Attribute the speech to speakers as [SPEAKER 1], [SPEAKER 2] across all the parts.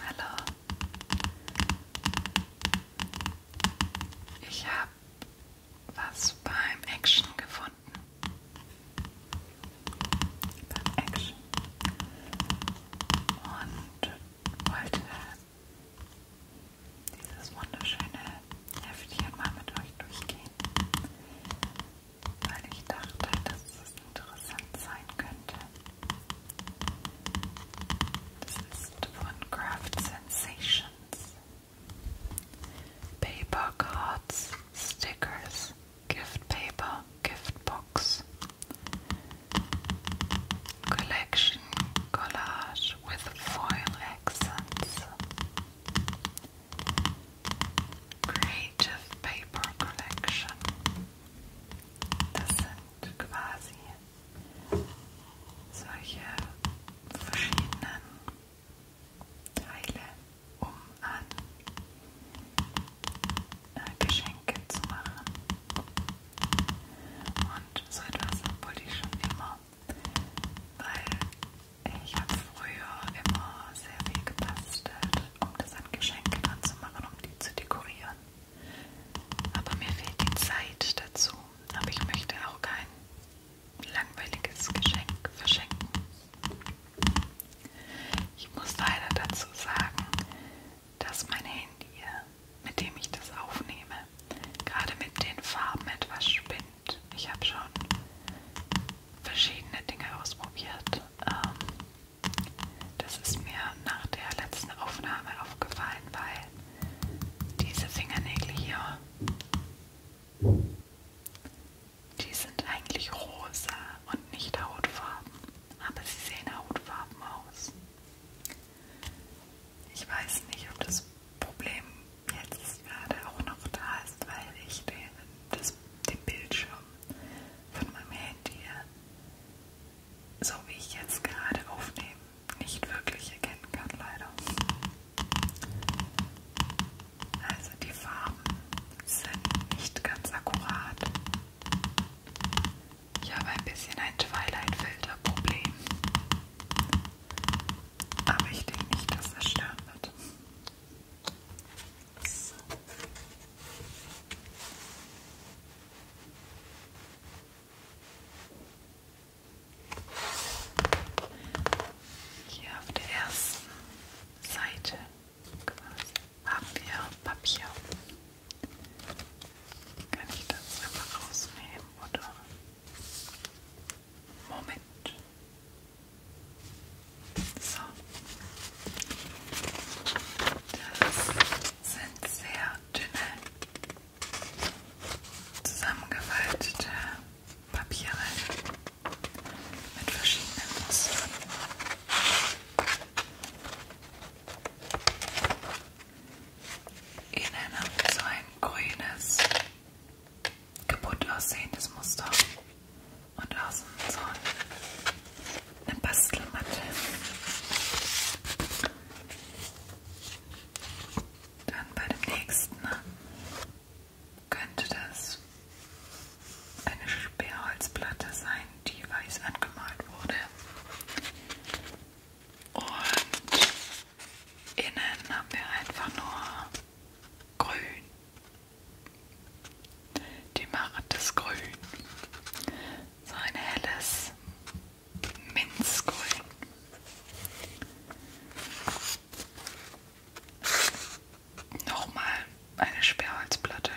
[SPEAKER 1] Hallo. Ich habe was beim Action gefunden. Beim Action. Und wollte dieses wunderschöne Heftchen mal mit euch durchgehen weil ich dachte, dass es interessant sein könnte. Das ist von Craft Sensations. Paper Cards, Stickers, Gift Paper, Gift Box. Collection collage with foil accents. Creative paper collection. Das sind quasi solche verschiedenen Teile, um an äh, Geschenke zu machen. Und so etwas wollte ich schon immer, weil ich habe früher immer sehr viel gebastelt um das an Geschenke dran zu machen, um die zu dekorieren. Aber mir fehlt die Zeit dazu. Aber ich möchte auch kein langweiliges Geschenk verschenken. Ich muss leider dazu sagen, dass mein Handy, mit dem ich das aufnehme, gerade mit den Farben etwas spinnt. Ich habe schon verschiedene Dinge ausprobiert. Ähm, das ist mir nach der letzten Aufnahme aufgefallen, weil diese Fingernägel hier, die sind eigentlich rosa und nicht hautfarben, aber sie sehen hautfarben aus. Ich weiß nicht, ob das Problem jetzt gerade auch noch da ist, weil ich den, das, den Bildschirm von meinem Handy so wie ich jetzt gerade aufnehme, nicht wirklich erkennen kann, leider. Also die Farben sind nicht ganz akkurat. Ich habe ein bisschen ein Twilight-Filter-Problem. Aber ich denke nicht, dass das stören wird. So. Hier auf der ersten Seite quasi haben wir Papier. Kann ich das einfach rausnehmen oder? Moment. So. Das sind sehr dünne, zusammengefaltete Papiere mit verschiedenen Mustern. Innen haben wir so ein grünes, kaputt aussehendes Muster und außen so eine Bastelmatte. Dann bei dem nächsten ne, könnte das eine Sperrholzplatte sein, die weiß angemalt wurde. Und innen haben wir einfach nur grün die machen das Grün. So ein helles Minzgrün. Nochmal eine Sperrholzplatte,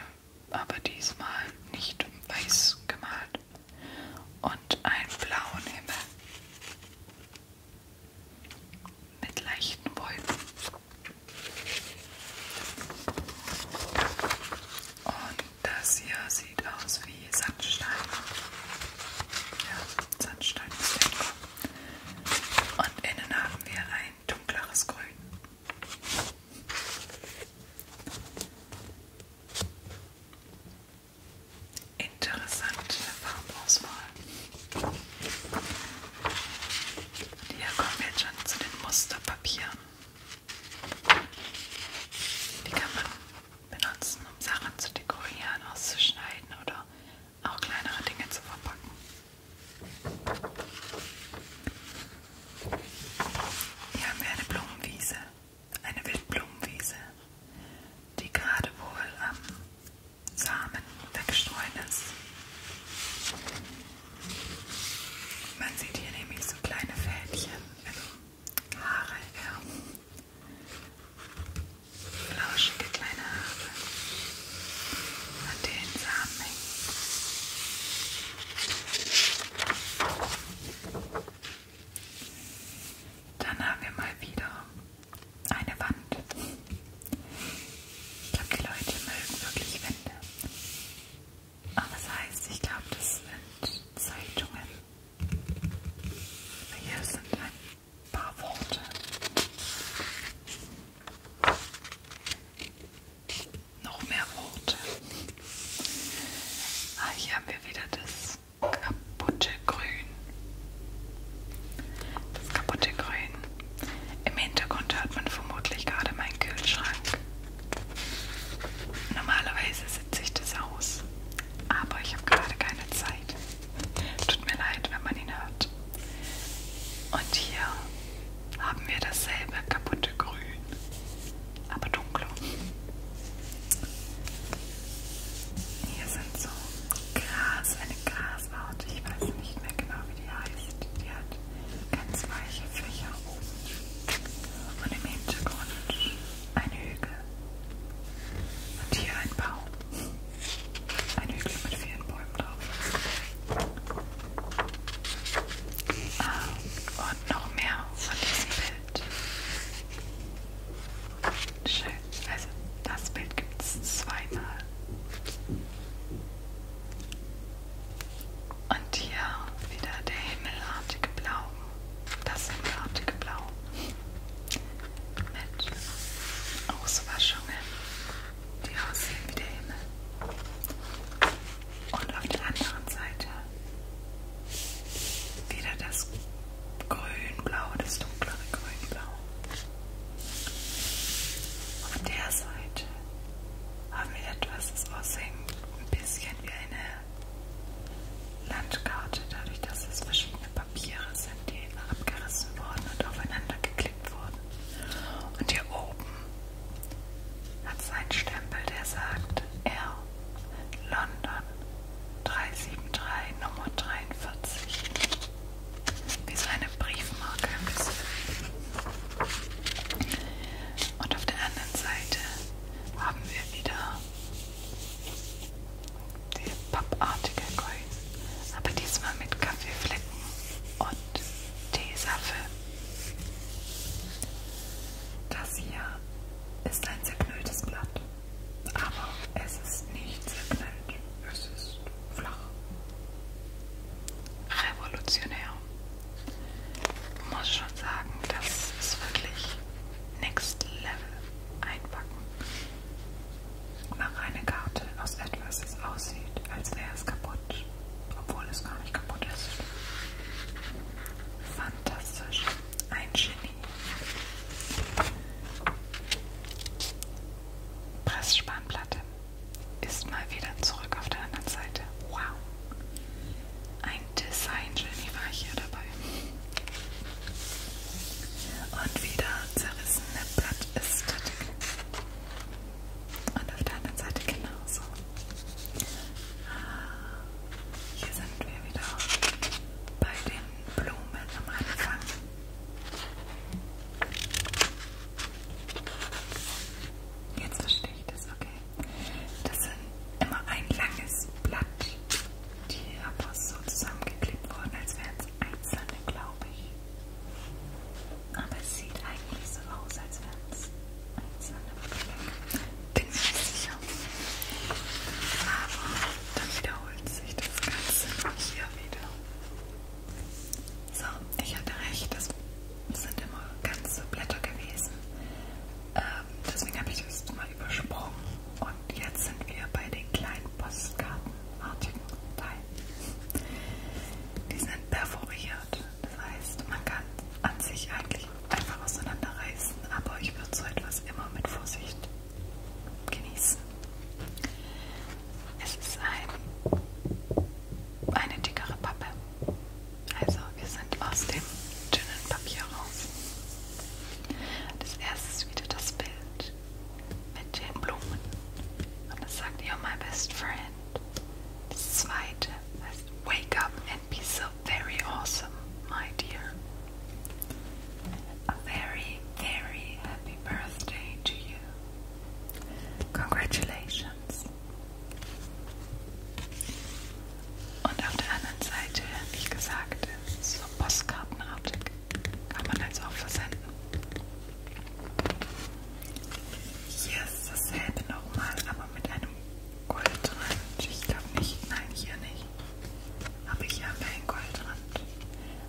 [SPEAKER 1] aber diesmal nicht weiß gemalt und einen blauen Himmel mit leichten Wolken. Und das hier sieht aus wie Sandstein. Ja, Sandstein ist lecker. Und innen haben wir ein dunkleres Grün. Interessante Farbauswahl. Und hier kommen wir jetzt schon zu den Musterpapieren. Die kann man benutzen, um Sachen zu dekorieren, auszuschneiden oder auch kleinere Dinge zu verpacken. Hier haben wir eine Blumenwiese, eine Wildblumenwiese, die gerade wohl am Samen weggestreut ist. Man sieht hier nämlich so kleine Fädchen, also Haare, ja. flauschige kleine Haare, an denen Samen hängen. Dann haben wir mal wieder eine Wand. Ich glaube, die Leute mögen wirklich Wände. Aber das heißt, ich glaube, das sind Zeitungen. Aber hier sind ein paar Worte. Noch mehr Worte. Ah, hier haben wir wieder das kaputte Grün. Das kaputte Grün im Hintergrund hört man vermutlich gerade meinen Kühlschrank. Normalerweise sitze ich das aus, aber ich habe gerade keine Zeit. Tut mir leid, wenn man ihn hört. Und hier haben wir dasselbe kaputte Grün, aber dunkler. Hier sind so Gras, eine Grasart, ich weiß nicht mehr genau, wie die heißt. Die hat ganz weiche Fächer oben und im Hintergrund ein Hügel und hier ein Baum. Ein Hügel mit vielen Bäumen drauf. Ah, und noch mehr von diesem Bild. Schön. Also das Bild gibt es zweimal. Und hier wieder der himmelartige Blau. Das himmelartige Blau. Mit Auswaschungen, die aussehen wie der Himmel. Und auf der anderen Seite wieder das Grünblau, das dunklere Grünblau. Auf der Seite haben wir etwas, das aushängt ein bisschen wie eine Landkarte, dadurch, dass es verschiedene Papiere sind, die abgerissen wurden und aufeinander geklebt wurden. Und hier oben hat sein Stempel, der sagt R London 373 Nummer 43. Wie so eine Briefmarke ein bisschen. Und auf der anderen Seite haben wir wieder die pappartige Coins, aber diesmal mit Kaffeeflecken und Teesafe. Das hier ist ein zerknülltes Blatt, aber es ist nicht zerknüllt, es ist flach. Revolutionär muss schon sagen, das ist wirklich Next Level einpacken. Mach eine Karte aus etwas, das aussieht, als wäre es kaputt, obwohl es gar nicht kaputt ist. Fantastisch, ein Genie. Pressspanplatte ist mal wieder zurück auf der anderen Seite. Wow. Ein Design-Genie war ich hier dabei. Und wieder zerrissene Blattästhetik. Und auf der anderen Seite genauso. Ah, hier sind wir wieder bei den Blumen am Anfang. Jetzt verstehe ich das, okay. Das sind immer ein langes Blatt. Die Abos so zusammengeklebt wurden, als wären es einzelne, glaube ich. Aber es sieht eigentlich so aus, als wären es einzelne Blöcke. Bin mir nicht sicher. Aber dann wiederholt sich das Ganze hier wieder. So, ich hatte recht, das sind immer ganze Blätter gewesen. Ähm, deswegen habe ich das mal übersprungen. Und jetzt sind wir bei den kleinen postkartenartigen Teilen. Die sind perforiert. Das heißt, man kann an sich eigentlich einfach auseinanderreißen, aber ich würde so etwas immer mit Vorsicht genießen. Es ist ein eine dickere Pappe. Also wir sind aus dem dünnen Papier raus. Das erste ist wieder das Bild mit den Blumen. Und das sagt ihr my best friend. Das zweite heißt Wake up and be so very awesome, my dear. A very, very happy birthday to you. Congratulations. Und auf der anderen Seite, wie gesagt, ist so Postkartenartig. Kann man also auch versenden. Hier ist dasselbe nochmal, aber mit einem Goldrand. Ich glaube nicht, nein, hier nicht. Aber hier haben wir einen Goldrand.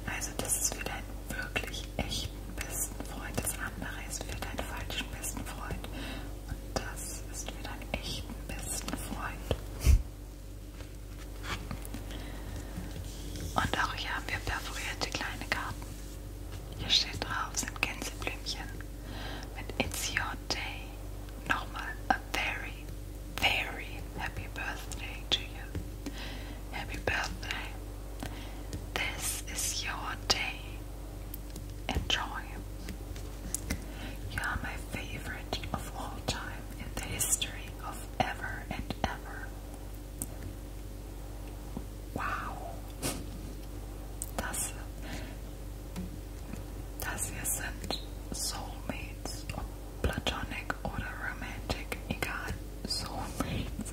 [SPEAKER 1] Also das ist wieder ein wirklich echt ich besten Freund des anderen ist für deinen falschen besten Freund. Und das ist für deinen echten besten Freund. Und auch hier haben wir perforierte kleine Karten. Hier steht drauf, sind Gänseblümchen. Mit It's Your Day. Nochmal, a very, very happy birthday to you. Happy birthday, This is your day. Enjoy. You are my favorite of all time in the history of ever and ever. Wow. Das, das hier sind Soulmates, platonic oder romantic, egal, Soulmates.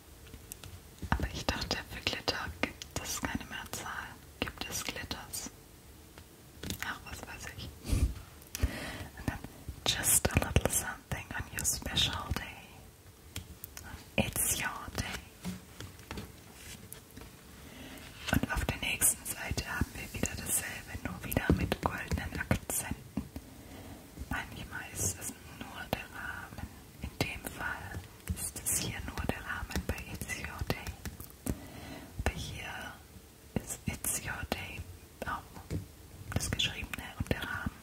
[SPEAKER 1] Aber ich dachte, für Glitter gibt es keine Mehrzahl. Gibt es Glitters? Ach, was weiß ich. Und dann, just a little something on your special day. It's your day. Und auf der nächsten Seite haben wir wieder dasselbe, nur wieder mit goldenen Akzenten. Manchmal ist es nur der Rahmen. In dem Fall ist es hier nur der Rahmen bei It's Your Day. Aber hier ist It's Your Day auch das Geschriebene und der Rahmen.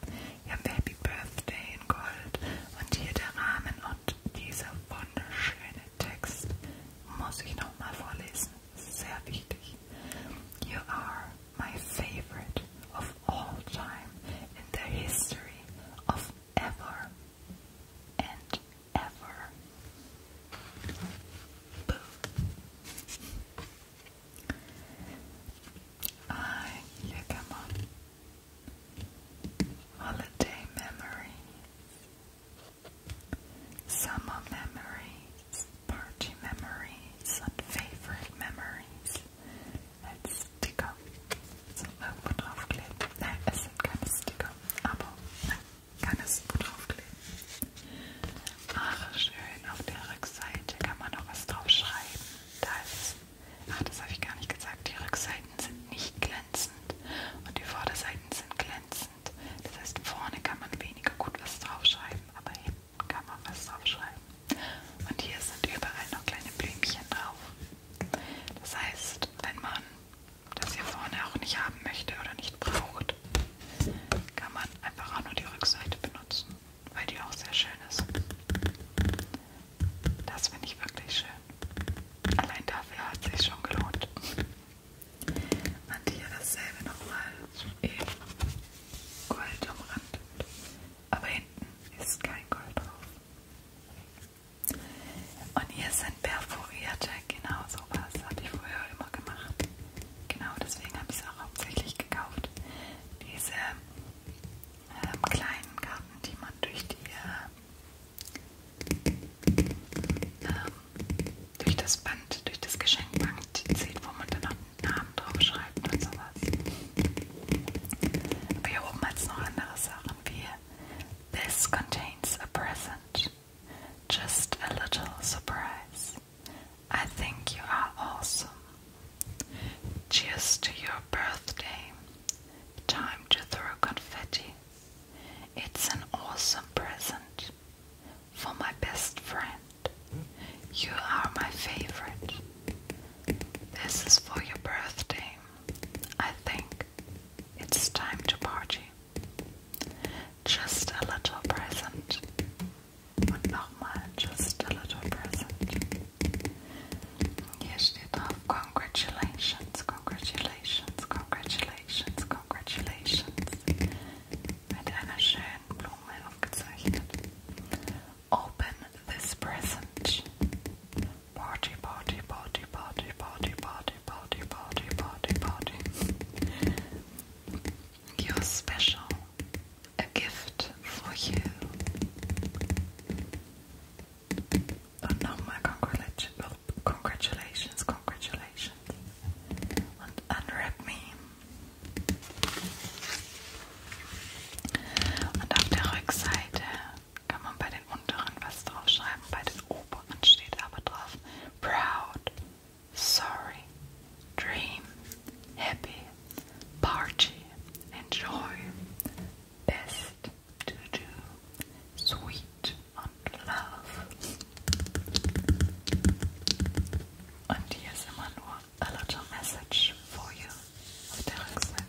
[SPEAKER 1] Hier haben wir Happy Birthday in Gold und hier der Rahmen und dieser wunderschöne Text muss ich nochmal vorlesen. Sehr wichtig. You are my favorite of all time in the history of ever and ever. I come on. Holiday memories, summer memories, party memories, and favorite memories. als Sticker so irgendwo draufkleben. Nein, es sind keine Sticker, aber man kann es gut draufkleben. Ach, schön, auf der Rückseite kann man noch was draufschreiben. Da ist Ach, das habe ich gar nicht gesagt. Die Rückseiten sind nicht glänzend und die Vorderseiten sind glänzend. Das heißt, vorne kann man weniger gut was draufschreiben, aber hinten kann man was draufschreiben. Und hier sind überall noch kleine Blümchen drauf. Das heißt, wenn man das hier vorne auch nicht haben möchte oder nicht braucht, kann man einfach auch nur die Rückseite benutzen, weil die auch sehr schön ist. Das finde ich wirklich schön. Allein dafür hat es sich schon gelohnt. Und hier dasselbe nochmal, eben gold umrandet aber hinten ist kein Gold drauf. Und hier sind perforierte, genau sowas habe ich früher immer gemacht. Genau deswegen habe ich es auch hauptsächlich gekauft. Diese ähm, kleinen Karten, die man durch die äh, ähm, durch das Band, durch das Geschenkband zieht, wo man dann auch Namen draufschreiben und sowas. Aber hier This contains a present. Just a little surprise. I think you are awesome. Cheers to your birthday. Time to throw confetti. It's an awesome present for my best friend. You are my favorite. This is for your birthday. I think it's time to party. Just a little present. Und nochmal, just a little present. Hier steht drauf, congratulations, congratulations, congratulations, congratulations. Mit einer schönen Blume aufgezeichnet. Open this present. Party, party, party, party, party, party, party, party, party, party. You're special. A gift for you. Oh no, my congratulations, well, congratulations, congratulations. And unwrap me. Und auf der Rückseite kann man bei den unteren was draufschreiben, bei den oberen steht aber drauf Proud, Sorry, Dream, Happy, Party, Enjoy, Best, To Do, Sweet und Love. Und hier ist immer nur a little message for you of der Rückseite.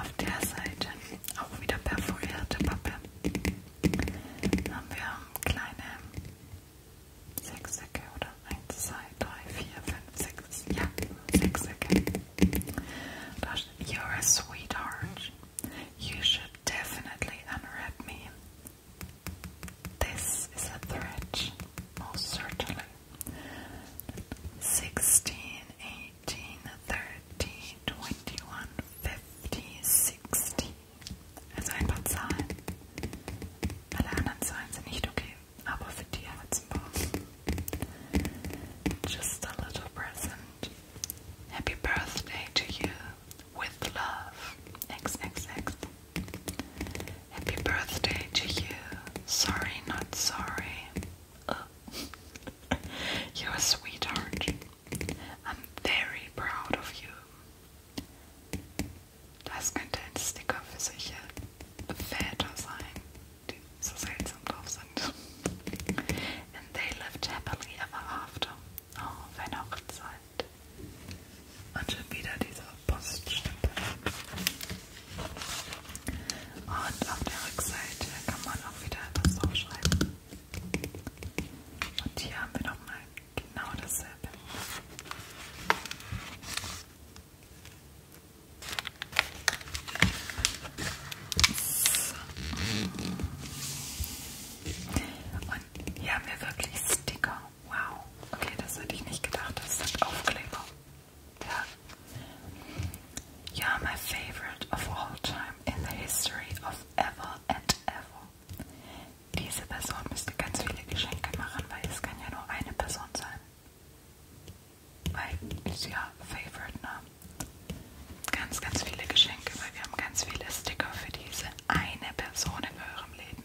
[SPEAKER 1] Auf der Seite, auch wieder perforierte Pappe, haben wir kleine Sechsecke oder 1, 2, 3, 4, 6, you're a sweetheart. You should definitely unwrap me. This is a threat, most certainly. 16, 18, 30, 21, 50, 60. Also ein paar Zahlen. okay, aber für die haben wir Just a little present. Happy birthday to you. With love. XXX. Happy birthday to you. Sorry, not sorry. You're a sweetheart. I'm very proud of you. Das könnte ein Sticker für solche Väter sein, so seltsam drauf sind. And they lived happily ever after. Oh, Weihnachtszeit. Und also schon wieder dieser Poststempel. Und auf der Rückseite kann man auch wieder etwas draufschreiben. Und hier haben wir nochmal genau dasselbe. So. Und hier haben wir wirklich Sticker. Wow, okay, das hätte ich nicht gedacht. Das sind Aufkleber. Ja. You're my favorite of all time in the history of ever and ever. Diese Person müsste ganz viele Geschenke machen, weil es kann ja nur eine Person sein. Weil ist ja Favorite, ne? Ganz, ganz viele Geschenke, weil wir haben ganz viele Sticker für diese eine Person in eurem Leben.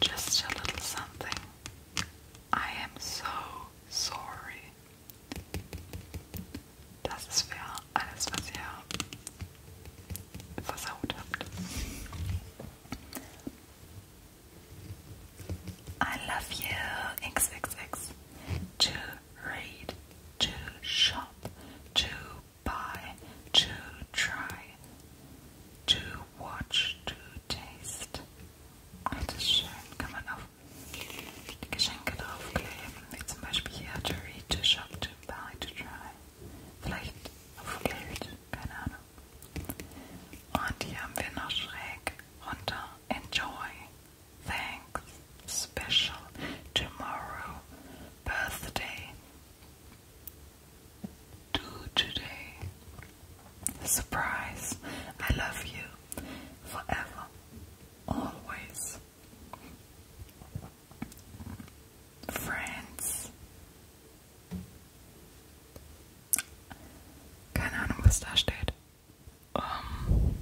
[SPEAKER 1] Just a little something. I am so sorry. Das ist für alles, was ihr versaut habt. I love you, XXX. To read, to shop, to buy, to try, to Watch to Taste. Das ist schön, kann man auf die Geschenke draufkleben, wie zum Beispiel hier To Read, To Shop, To Buy, To Try. Vielleicht auf Geld, keine Ahnung. Und hier haben wir noch schräg runter Enjoy, Thanks, Special, Tomorrow, Birthday do today. Surprise, I love you forever, always. Friends. Keine Ahnung, was da steht. Um,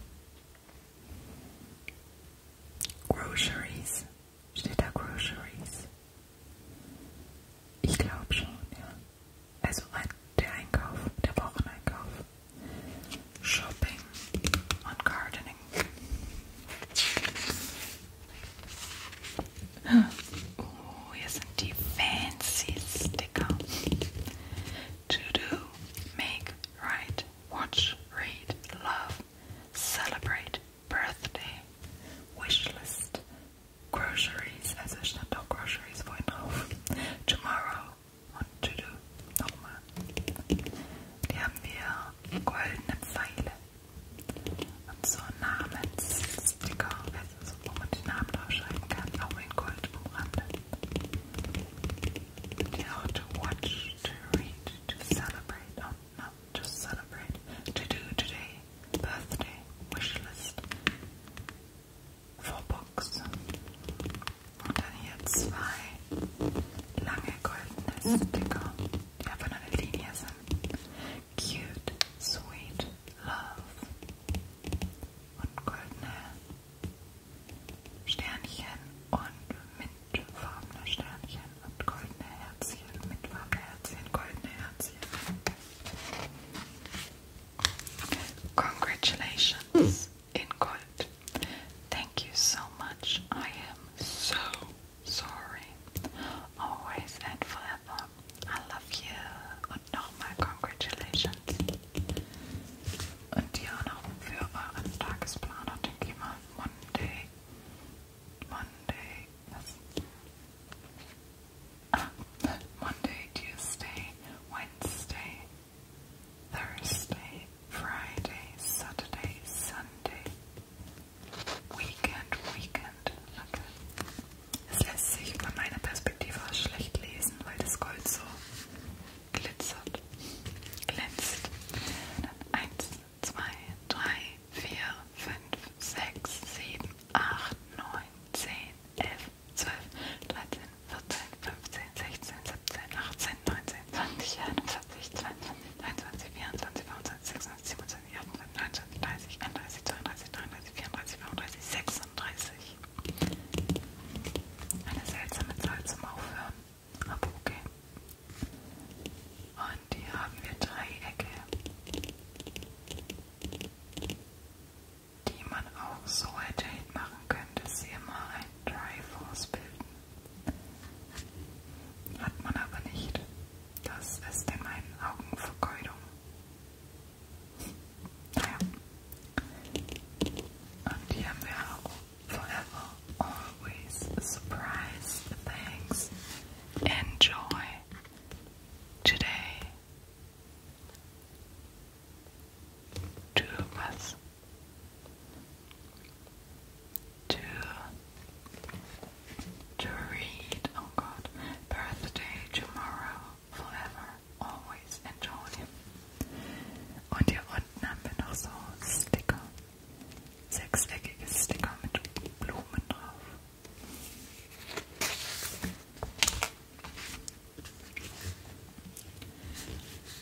[SPEAKER 1] groceries. Steht da Groceries? Ich glaube schon, ja. Also ein, der Einkauf, der Shopping und Gardening. Oh, hier sind fancy Sticker. To do, make, write, watch, read, love, celebrate, birthday, wishlist, groceries, as I should not groceries for now. Tomorrow und to do nochmal. Die haben wir goldene Pfeile und so Namenssticker, also wo man die Namen draufschreiben kann, auch in Gold umrandet. Die to watch, to read, to celebrate not just celebrate, to do today, birthday, wish list, for books. Und dann hier zwei lange goldene Sticker, die einfach nur eine Linie sind. Cute, sweet, love. Und goldene Sternchen und mintfarbene Sternchen. Congratulations in gold. Thank you so much. I am so sorry. Always and forever. I love you. Und nochmal Congratulations. Und dir noch für euren Tagesplan und den Monday Monday, that's, Tuesday, Wednesday, Thursday, Friday, Saturday, Sunday, Weekend, Weekend. Okay. Es lässt sich von meiner Perspektive schlecht lesen, weil das Gold so glitzert, glänzt. Dann eins, 2, 3, 4, 5, 6, 7, 8, 9, 10, 11, 12, 13, 14, 15, 16, 17, 18, 19, 20, 41, 22, 23, 24, 25, 26, 27, 28, 29, 30, 31, 32, 33, 34, 35, 36. Eine seltsame Zahl zum Aufhören, aber okay. Und hier haben wir Dreiecke die man auch so hätte hinmachen können, dass sie immer ein Triforce bilden. Hat man aber nicht. Das ist in meinen Augen Vergeudung. Naja. Und hier haben wir auch Forever, Always, Surprise, Thanks, Enjoy. Today, two of us, to to read. Oh God, birthday tomorrow, forever, always enjoy. Und hier unten haben wir noch so Sticker, sechseckiges Sticker mit Blumen drauf.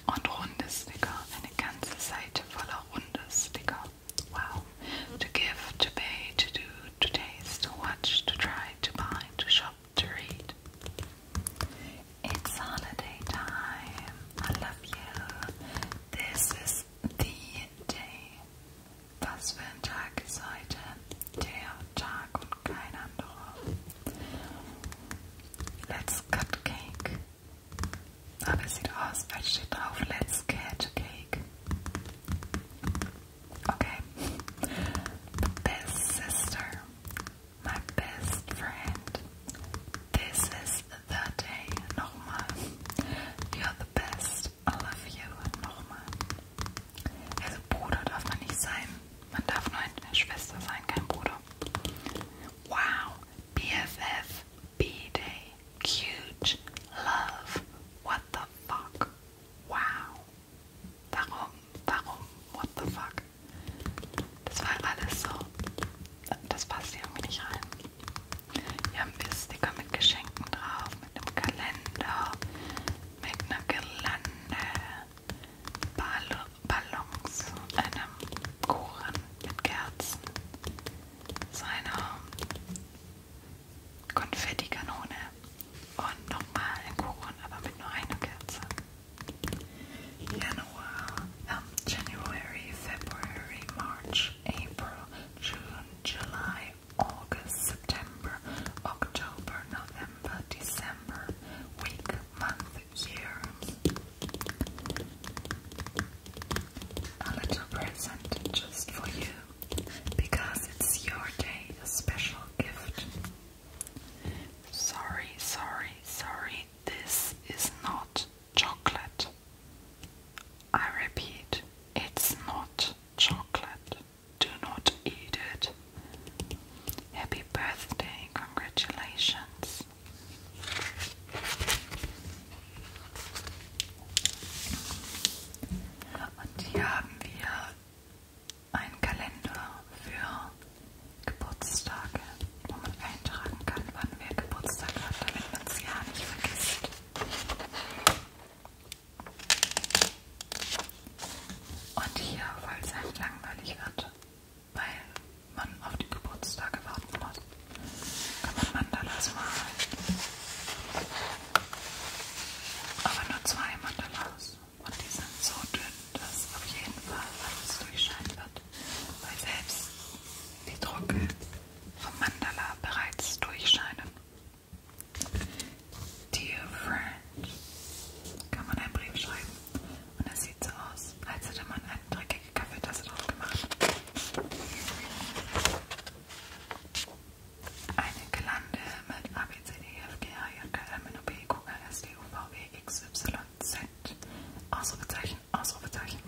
[SPEAKER 1] Und runde Sticker, eine ganze Seite voller runde Sticker. Wow. To give, to pay, to do, to taste, to watch, to try, to buy, to shop, to read. It's holiday time. I love you. This is the day. Was für ein Tag ist heute? Der Tag und Let's cut cake. Aber es sieht aus, als steht Let's cut cake. Okay. best sister. My best friend. This is the day. Nochmal. You're the best. I love you nochmal. Also Bruder darf man nicht sein. Man darf nur eine Schwester sein, kein Bruder. Wow. BFF. B-Day. Cute. Love. What the fuck. Wow. Warum? Warum? What the fuck? Das war alles so. Das passt irgendwie nicht rein. Wir haben einen Sticker mit Geschenken drauf, mit einem Kalender, mit einer Girlande, Ball Ballons, einem Kuchen mit Kerzen, seiner Konfettikanone und nochmal einen Kuchen, aber mit nur einer Kerze. Januar, um, ähm, January, February, March, April, June, July, August, September, October, November, December, week, month, year. A little present just for you because it's your day, a special gift. Sorry, sorry, sorry, this is not chocolate. I repeat, it's not chocolate. Do not eat it. Happy birthday, congratulations. Und hier haben wir einen Kalender für Geburtstage, wo man eintragen kann, wann wer Geburtstag hat, damit man es ja nicht vergisst. Und hier, weil es halt langweilig wird, weil man auf die Geburtstage warten muss, kann man Mandalas malen. Aber nur zwei Mandalas. Und die sind so dünn, dass auf jeden Fall alles durchscheinen wird. Weil selbst die Drucke vom Mandala bereits durchscheinen. Dear Friend, kann man einen Brief schreiben. Und es sieht so aus, als hätte man eine dreckige Kaffeetasse drauf gemacht. Eine Gelande mit A, B, C, D, E, F, G, A, J, K, L, N, O, P, Q, R, S, D, U, V, W, e X, Y, Z. Ausrufezeichen, Ausrufezeichen.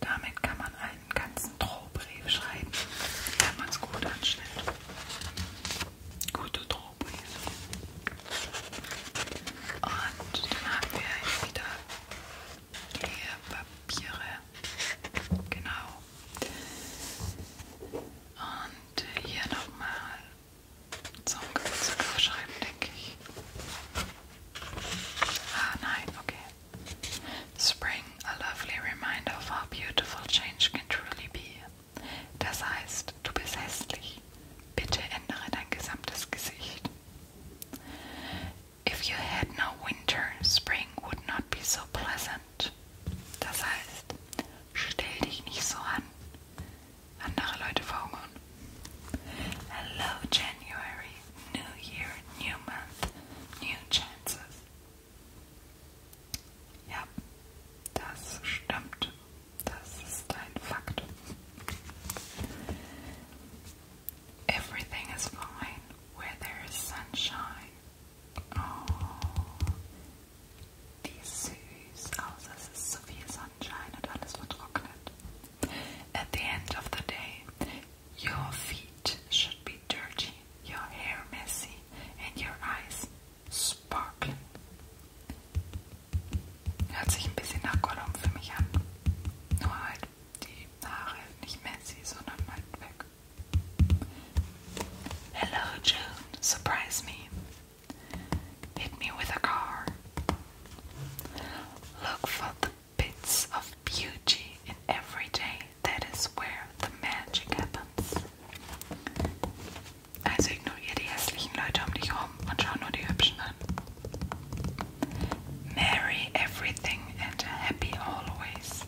[SPEAKER 1] Damit kann man einen ganzen Drohbrief schreiben, wenn man es gut anstellt. Gute Drohbriefe. Und dann haben wir hier wieder Lehrpapiere. Genau. Und hier nochmal zum Geburtstag aufschreiben, denke ich. Ah nein, okay. Spring, a lovely reminder of how beautiful change can truly be. Das heißt, du bist hässlich. Bitte ändere dein gesamtes Gesicht. If you had no winter, spring would not be so pleasant. Das heißt, stell dich nicht so an. Andere Leute verhungern. Hello, January. New year, new month, new chances. Ja, das stimmt. Das ist ein Everything is fine where there is sunshine. Oh, wie süß. Außer es ist so viel Sonnenschein und alles vertrocknet. At the end of the day, your feet should be dirty, your hair messy, and your eyes sparkling. Hört sich ein bisschen nach für mich an. Nur halt die Haare nicht messy, sondern halt weg. Hello, June. Surprise me. Hit me with a car. Look for the bits of beauty in every day. That is where the magic happens. Also ignoriere die hässlichen Leute um dich herum und schau nur die Hübschen an. Marry everything and happy always.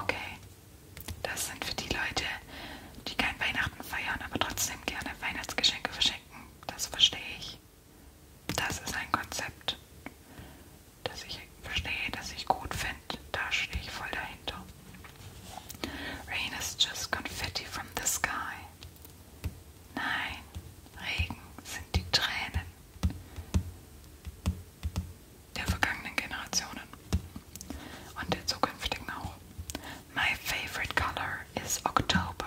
[SPEAKER 1] Okay, das sind für die Leute, die kein Weihnachten feiern, aber trotzdem gerne Weihnachtsgeschenke verschenken. das verstehe ich. Das ist ein Konzept, das ich verstehe, das ich gut finde. Da stehe ich voll dahinter. Rain is just confetti from the sky. Nein, Regen sind die Tränen der vergangenen Generationen und der zukünftigen auch. My favorite color is October.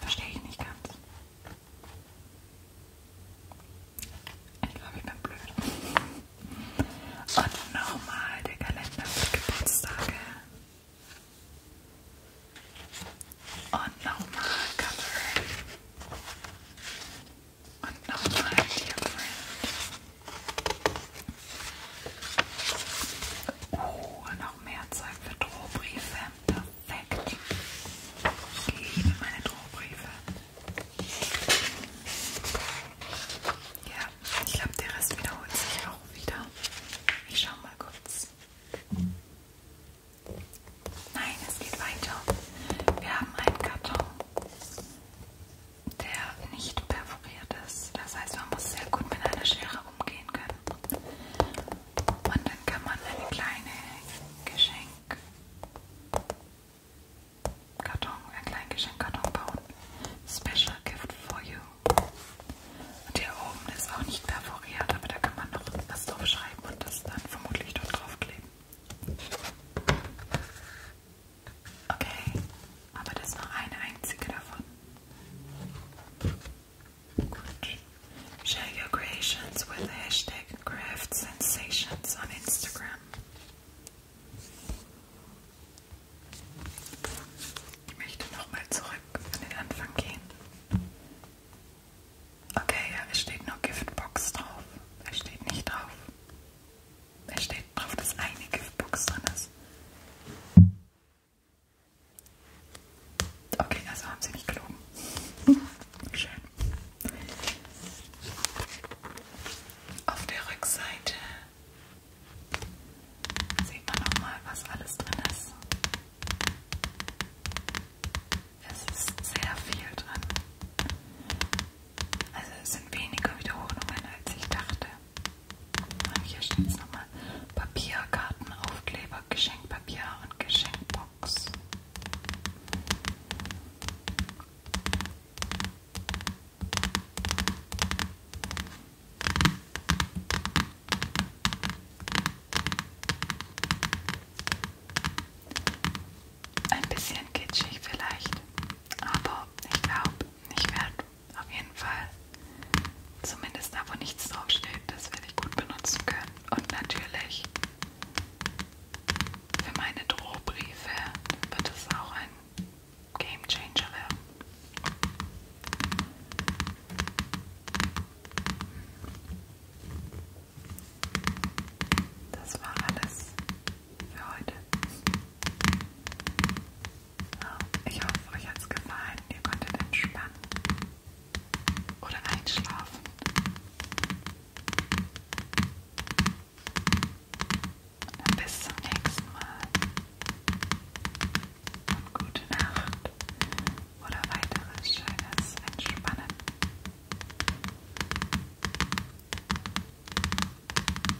[SPEAKER 1] Verstehe ich nicht ganz. Ich glaube, ich bin blöd. Und nochmal der Kalender für Geburtstage. Und nochmal Cover. Und nochmal Dear Friend. Oh, noch mehr Zeug für Drohbriefe. Perfekt. Ich liebe meine Drohbriefe. Ja, ich glaube, der Rest wiederholt sich auch wieder. Ich schau mal kurz. Nein, es geht weiter. Wir haben einen Karton, der nicht perforiert ist. Das heißt, man muss sehr gut mit einer Schere umgehen können. Und dann kann man eine kleine Geschenk Karton, ein kleinen Geschenkkarton bauen. Special Gift for you. Und hier oben ist auch nicht perforiert, aber da kann man noch was drauf schreiben und das dann vermutlich dort draufkleben. Okay, aber das war eine einzige davon. Gut. Share your creations with the hashtag Craft Sensations on Instagram. Ich möchte nochmal zurück an den Anfang gehen. Okay, ja, es steht nur Giftbox drauf. Es steht nicht drauf. Es steht drauf, dass eine Giftbox drin ist. Okay, also haben sie nicht gelogen. Schön. Auf der Rückseite sieht man nochmal, was alles drin ist. Es ist sehr viel drin. Also es sind weniger Wiederholungen, als ich dachte. Und hier steht es nochmal: Papier, Kartenaufkleber, Geschenkpapier und Geschenkbox. Ein bisschen kitschig vielleicht, aber ich glaube, ich werde auf jeden Fall zumindest da, wo nichts draufsteht, das werde ich gut benutzen können. Und natürlich für meine Drohbriefe wird es auch ein Game Changer werden. Das war alles für heute. Ich hoffe, euch hat es gefallen. Ihr konntet entspannen oder einschlafen. Dann bis zum nächsten Mal. Und gute Nacht oder weiteres schönes Entspannen.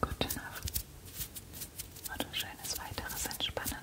[SPEAKER 1] Gute Nacht und ein schönes weiteres Entspannen.